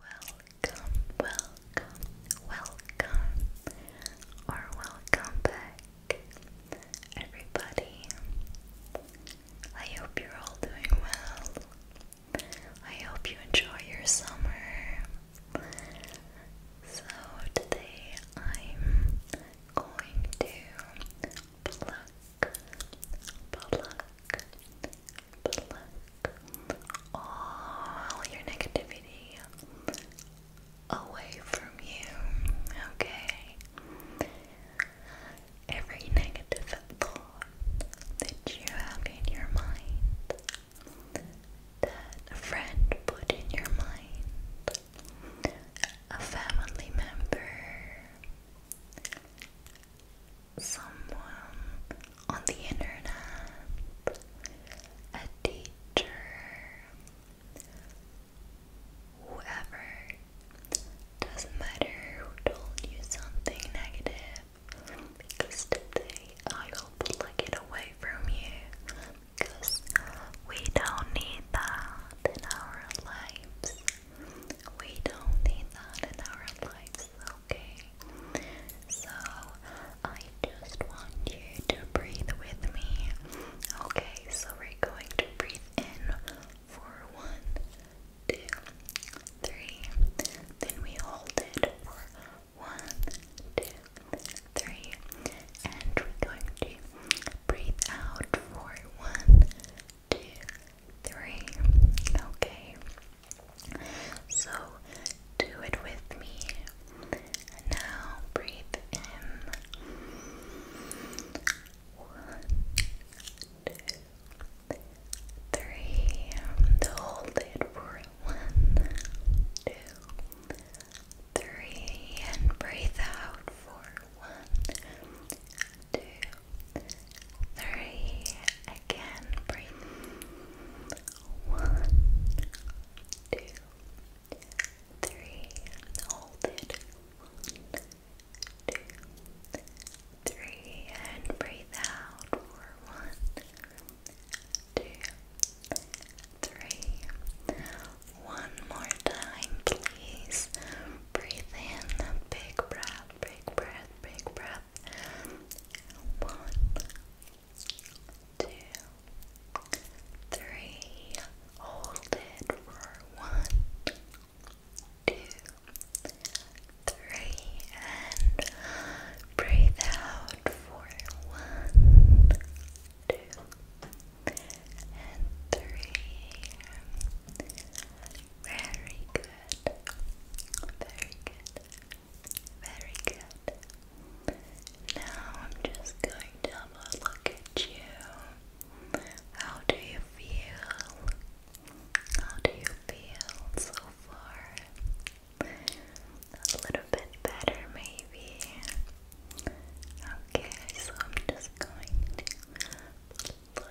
Welcome, welcome, welcome, or welcome back, everybody. I hope you're all doing well. I hope you enjoy your summer. So, today I'm going to pluck, pluck, pluck all your negativity away from you, okay? Every negative thought that you have in your mind, that a friend put in your mind, a family member, someone on the internet, a teacher, whoever, doesn't matter told you something negative, because today I will plug it away from you, because we don't need that in our lives. We don't need that in our lives, okay? okay? So, I just want you to breathe with me. Okay, so we're going to breathe in for one, two, three. Then we hold it for one, two, three. And we're going to breathe out for one, two, three. Okay. So do it with me. now breathe in. One, two, three. hold it for one, two, three. And breathe out for one, two, three. Again, breathe. One, two, three. Hold it. One, two, three. And breathe out for One more time, please. Breathe in. Big breath, big breath, big breath. One, two, three, hold it for one, two, three, and breathe out for one, two, and three. Very good, very good. Very good. Now I'm just going to have a look at you. How do you feel? How do you feel so far? A little bit better, maybe. Okay, so I'm just going to look.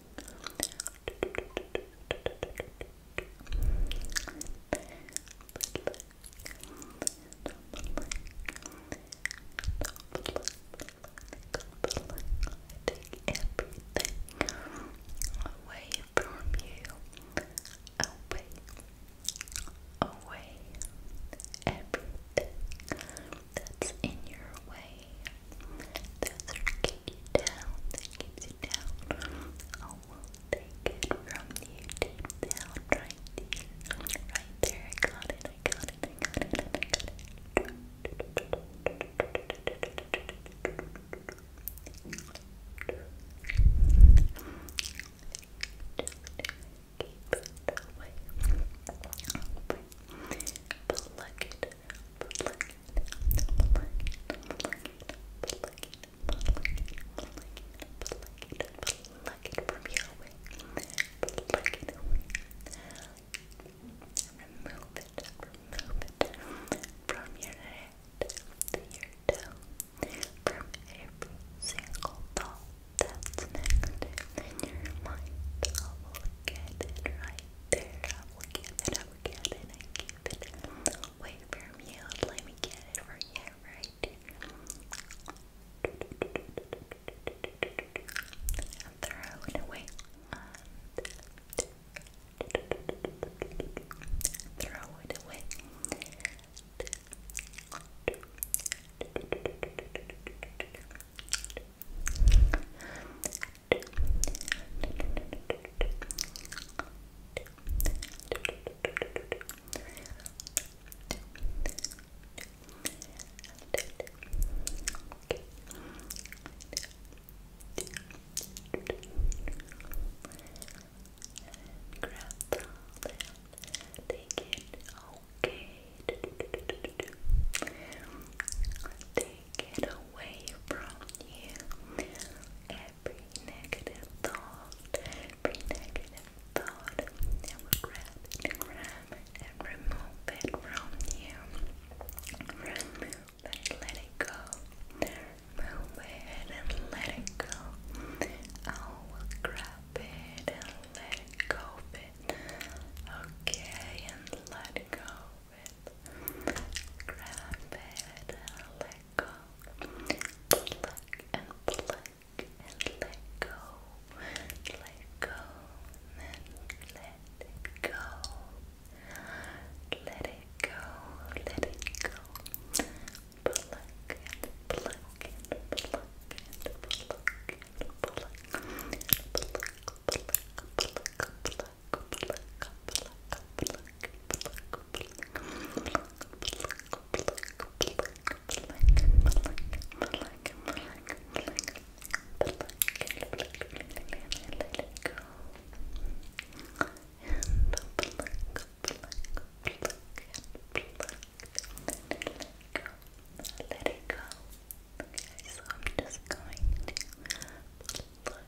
take everything away from you. Away, away, everything that's in your way, get you down, that keeps down. I will take it from you deep down, right there, right there. I got it, I got it, I got it, I got it. Keep it away. Plug it, plug it from your way. Plug it Remove it. Remove it from your head to your toe. From every single thought that's in your mind. I will get it right there. I will get it. I will get it. I keep it. Wait for me Let me get it for you, right? throw it away. throw it away. Grab take it, away from you every negative thought, every negative thought, I will grab it grab it and remove it from you. Remove it, let it go. Move it and let it go. I oh, will grab it and let it go it. Okay, and let go it. Grab it and let let go. Pluck and pluck and let go. Let go and let it go. Let it go. Let it go. Pluck and pluck and pluck and pluck and pluck. Pluck, pluck, pluck, pluck let it go. Okay, so I'm just going to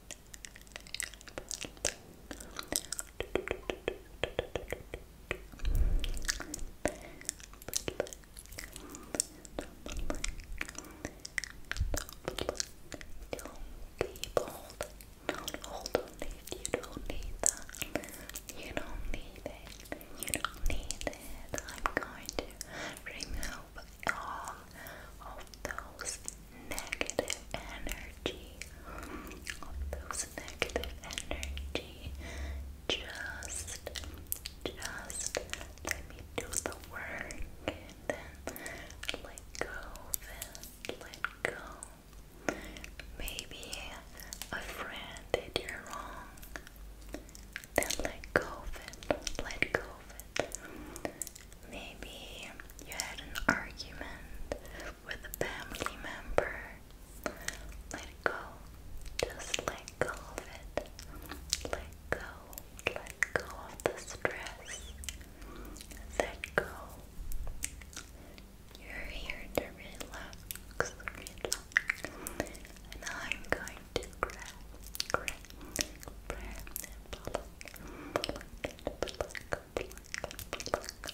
be You don't need that. You don't need it. You don't need it. I'm going to remove all of those negative energy, those negative energy. Just, just let me do the work then let go of let go. Maybe a friend did you wrong, then let go of let go Maybe you had an argument, with a family member. Let go. Just let go of it. Let go. Let go of the stress. Let go. You're here to relax. Relax. And I'm going to grab, grab, grab and pluck, pluck, pluck, pluck, pluck, pluck,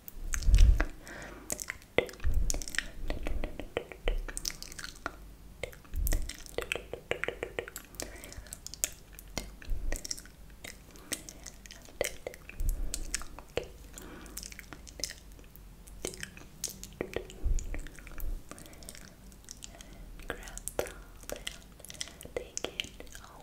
Grab the take it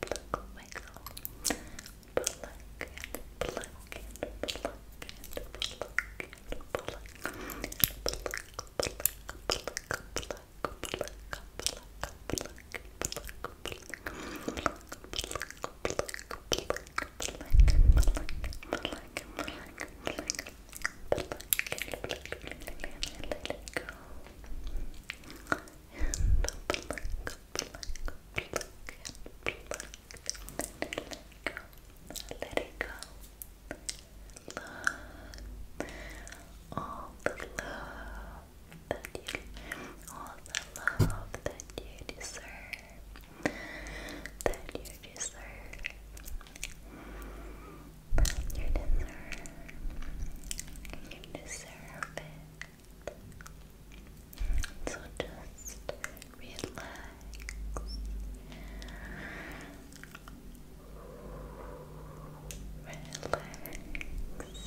pluck, wiggle, pluck and pluck and pluck and pluck and pluck, pluck, pluck, pluck, pluck. Pluck, pluck, pluck, pluck, pluck, pluck, pluck, pluck, pluck, and Let it go. Let it go. All the love that you, all the love that you deserve, that you deserve. You deserve. You deserve it. So just relax. Relax. Relax. Relax.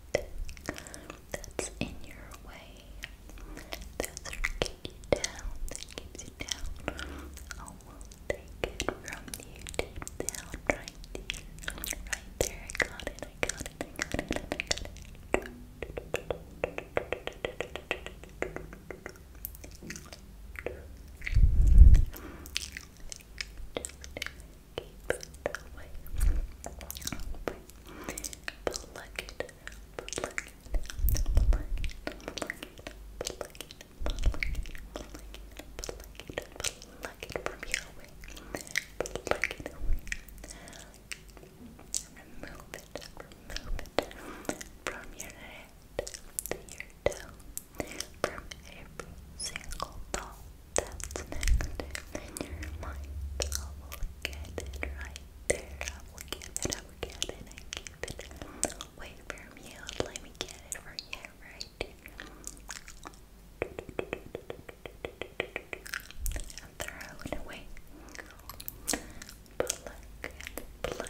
that's in your way. That's getting you down, that keeps you down. I take it from you deep down, right there. I got it, I got it, I got it, Keep it away. Over. Plug it. Plug it. Plug it. Plug it. Plug it. Plug it. Plug it. Plug it. Plug it from your way. Plug it away. Remove it. Remove it from your head to your toe. From every single thought that's next I will get it right there. I will give it, I will get it, I give it. Wait for me, let me get it for you right here. throw it away. Pluck